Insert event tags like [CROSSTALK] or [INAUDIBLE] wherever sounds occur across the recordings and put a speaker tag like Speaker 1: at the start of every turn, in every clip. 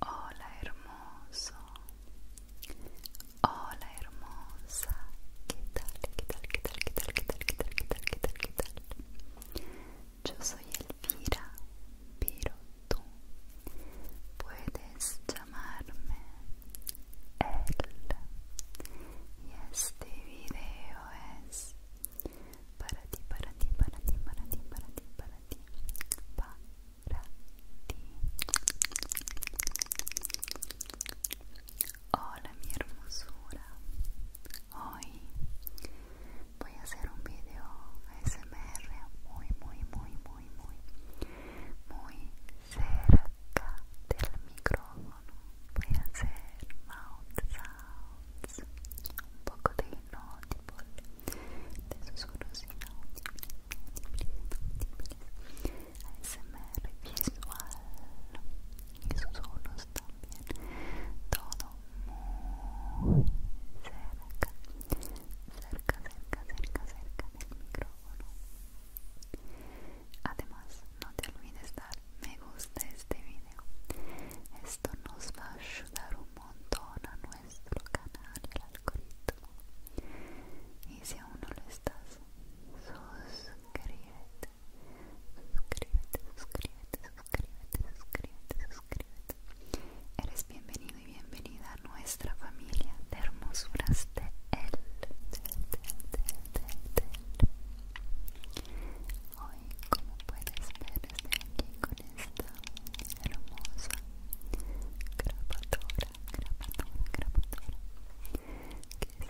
Speaker 1: Hola hermoso, hola hermosa, ¿qué tal? ¿Qué tal? ¿Qué tal? ¿Qué tal? ¿Qué tal? ¿Qué tal? ¿Qué tal? Yo soy Elvira, pero tú puedes llamarme El. Y este video es para ti, para ti, para ti, para ti, para ti, para ti, para ti. Hola mi hermosura. Hoy voy a hacer un video ASMR muy, muy, muy, muy, muy, muy cerca del micrófono voy a hacer mouth sounds un poco de inaudible de susurros inaudibles ASMR visual también todo muy cerca cerca, cerca, cerca, cerca del micrófono Además, no te olvides dar me gusta a este video. Esto nos va a ayudar un montón a nuestro canal, el algoritmo. Y si aún no lo estás, suscríbete. Suscríbete, suscríbete, suscríbete, suscríbete, suscríbete. Eres bienvenido y bienvenida a nuestra familia de hermosuras de de él. Hoy, como puedes ver, estoy aquí con esta hermosa grabadora, grabadora, grabadora que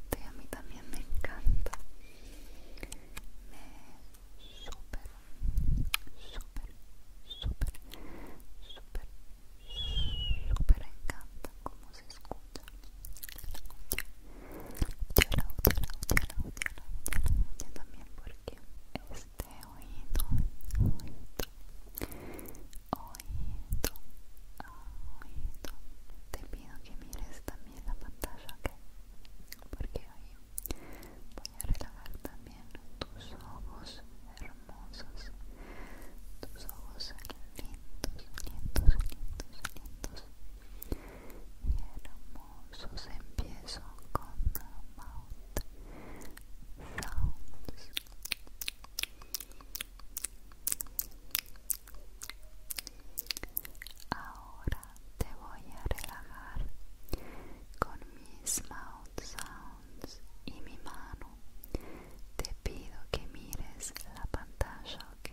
Speaker 1: que a encanta, te encanta, te encanta y a mí también me encanta me súper, súper, súper, súper pero encanta como se escucha la odio, la la odio, la la también porque este oído, oído, oído, te pido que mires también la pantalla, ¿ok? porque hoy voy a relajar también tus ojos hermosos, tus ojos lindos, lindos, lindos, lindos y hermosos. Empiezo con mouth sounds. Ahora te voy a relajar con mis mouth sounds y mi mano. Te pido que mires la pantalla, ¿ok?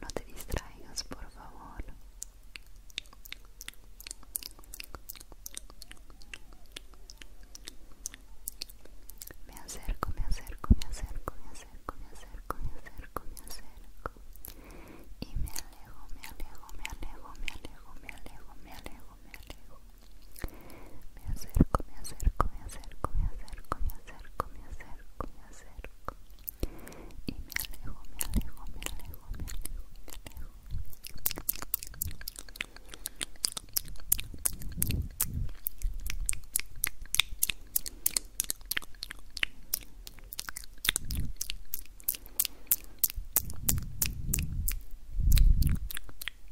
Speaker 1: No te distraigas, por favor. Me acerco, me acerco, me acerco, me acerco, me acerco, me acerco, me acerco. Y me alejo, me alejo, me alejo, me alejo, me alejo, me alejo me alejo me acerco, me acerco, me acerco, me acerco, me acerco, me acerco, me acerco y me alejo, me alejo, me alejo, me alejo, me alejo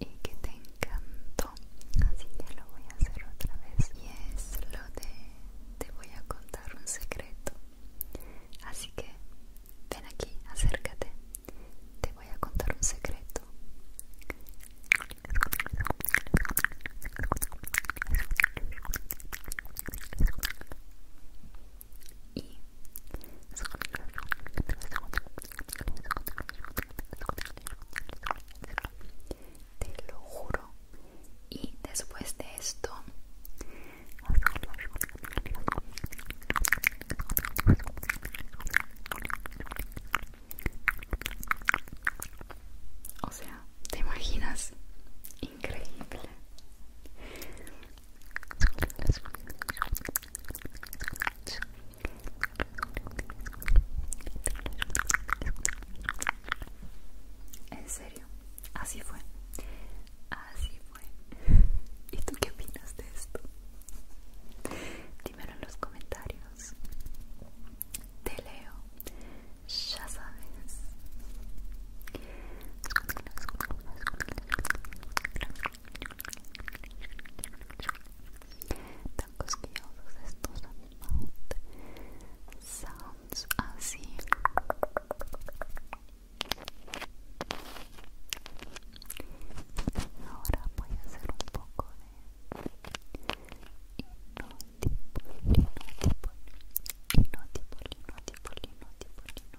Speaker 1: y que te encantó así que lo voy a hacer otra vez y es lo de te voy a contar un secreto así que ven aquí acércate te voy a contar un secreto y te lo juro. Y después de esto... O sea, ¿te imaginas? Increíble. En serio, así fue. Así fue. ¿Y tú qué opinas de esto? Dímelo en los comentarios. Te leo. Ya sabes. Tan cosquillosos estos mouth sounds así. Ahora voy a hacer un poco de hipnotipol, tipo hipnotipol, tipo hipnotipol, tipo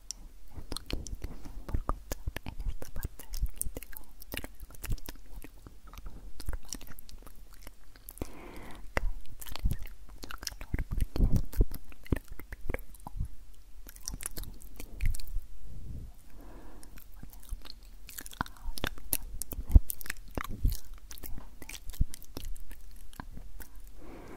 Speaker 1: esto que les por contar en esta parte del video te lo voy a contar también normales acá en Italia hace bueno a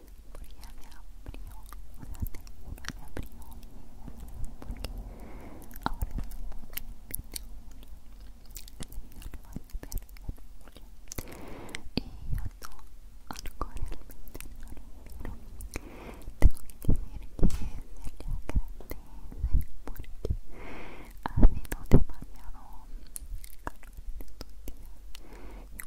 Speaker 1: porque ya me abrió, o sea, te juro, me abrió porque ahora es muy bien de julio este video lo van a ver en julio y yo no, algo realmente no lo miro tengo que decir que se le porque ha sido demasiado estos días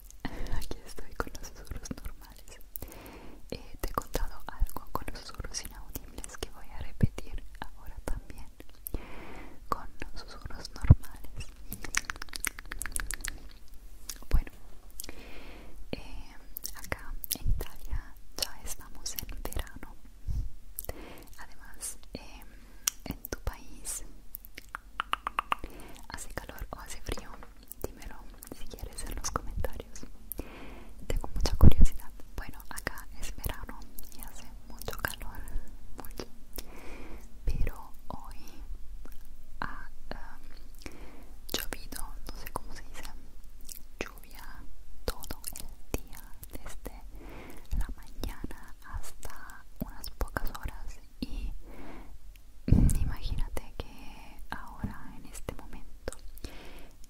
Speaker 1: [LAUGHS] aquí estoy con los susurros normales. Eh, te he contado algo con los susurros inaudibles que voy a repetir ahora también con los susurros normales. Bueno, eh, acá en Italia ya estamos en verano. Además, eh, en tu país ¿Hace calor o hace frío? Dímelo si quieres en los comentarios. Tengo mucha curiosidad. Bueno, acá es verano y hace mucho calor, mucho. Pero hoy ha eh, llovido, no sé cómo se dice, lluvia todo el día, desde la mañana hasta unas pocas horas y imagínate que ahora en este momento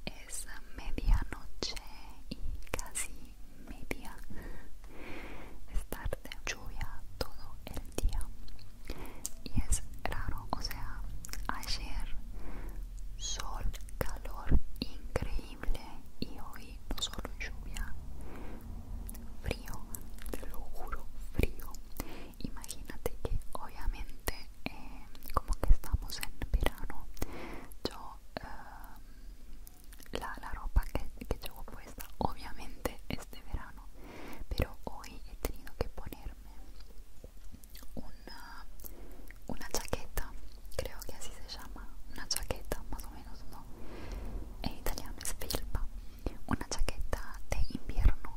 Speaker 1: es medianoche y casi media es tarde lluvia todo el día y es raro o sea ayer sol calor increíble y hoy no solo lluvia frío, te lo juro, frío. Imagínate que obviamente eh, como que estamos en verano, yo eh, la, ropa que, llevo puesta obviamente es de verano, pero hoy he tenido que ponerme una, una chaqueta, creo que así se llama, una chaqueta más o menos, ¿no? en italiano es filpa una chaqueta de invierno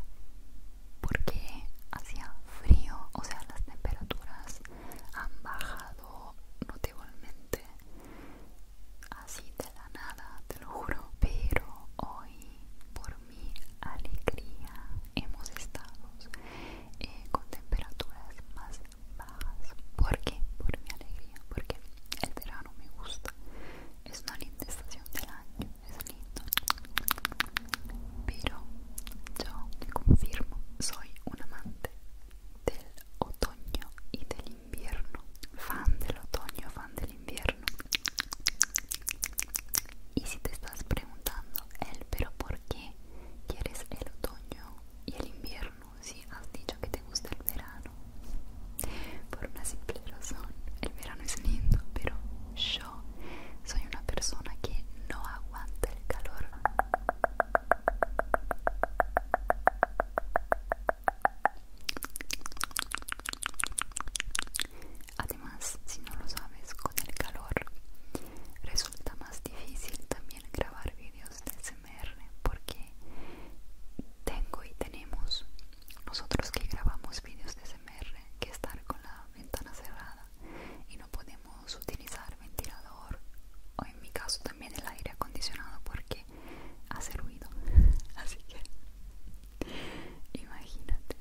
Speaker 1: porque hacía frío, o sea, las temperaturas han bajado notablemente así de la nada, te lo juro, pero hoy por mi alegría hemos estado eh, con temperaturas más bajas. ¿Por Por mi alegría, porque el verano me gusta es una linda estación del año, es lindo. Pero yo te confirmo, soy un amante del otoño y del invierno. Fan del otoño, fan del invierno. Y si te estás preguntando, él, pero ¿por qué quieres el otoño y el invierno? Si has dicho que te gusta el verano, por una simple razón el verano es lindo pero yo soy una persona que no aguanta el calor además si no lo sabes con el calor resulta más difícil también grabar vídeos de SMR porque tengo y tenemos nosotros que grabamos vídeos de SMR, que estar con la ventana cerrada y no podemos utilizar ventilador o en mi caso también el aire acondicionado porque hace ruido. [LAUGHS] Así que imagínate.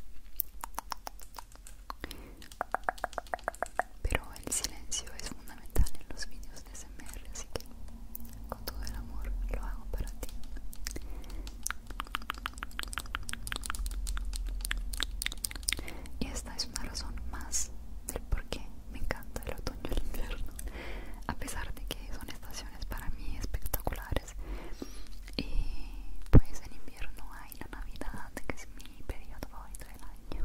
Speaker 1: Pero el silencio es fundamental en los vídeos de SMR, así que con todo el amor lo hago para ti y esta es una razón más del por qué me encanta el otoño y el invierno a pesar de que son estaciones para mí espectaculares y pues en invierno hay la navidad que es mi periodo favorito del año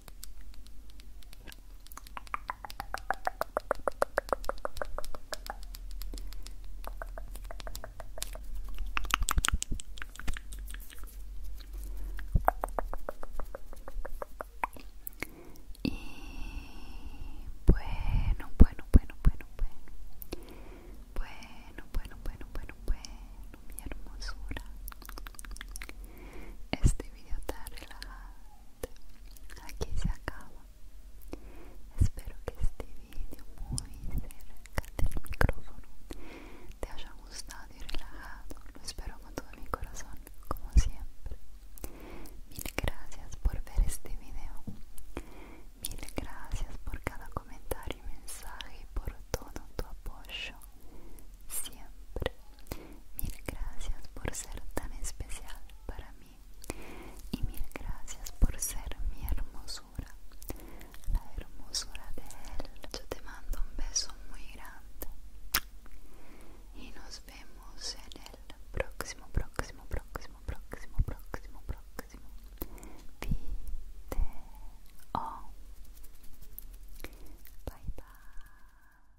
Speaker 1: Y bueno, bueno, bueno, bueno, bueno. Bueno, bueno, bueno, bueno, bueno, mi hermosura. Este video está relajado Aquí se acaba. Espero que este vídeo muy cerca del micrófono te haya gustado y relajado. Lo espero con todo mi corazón, como siempre. Mil gracias por ver este video. Mil gracias por cada comentario y mensaje y por todo tu apoyo. Siempre. Mil gracias por ser tan especial para mí y mil gracias por ser mi hermosura, la hermosura de él. Yo te mando un beso muy grande y nos vemos en el próximo, próximo, próximo, próximo, próximo, próximo video. Bye bye.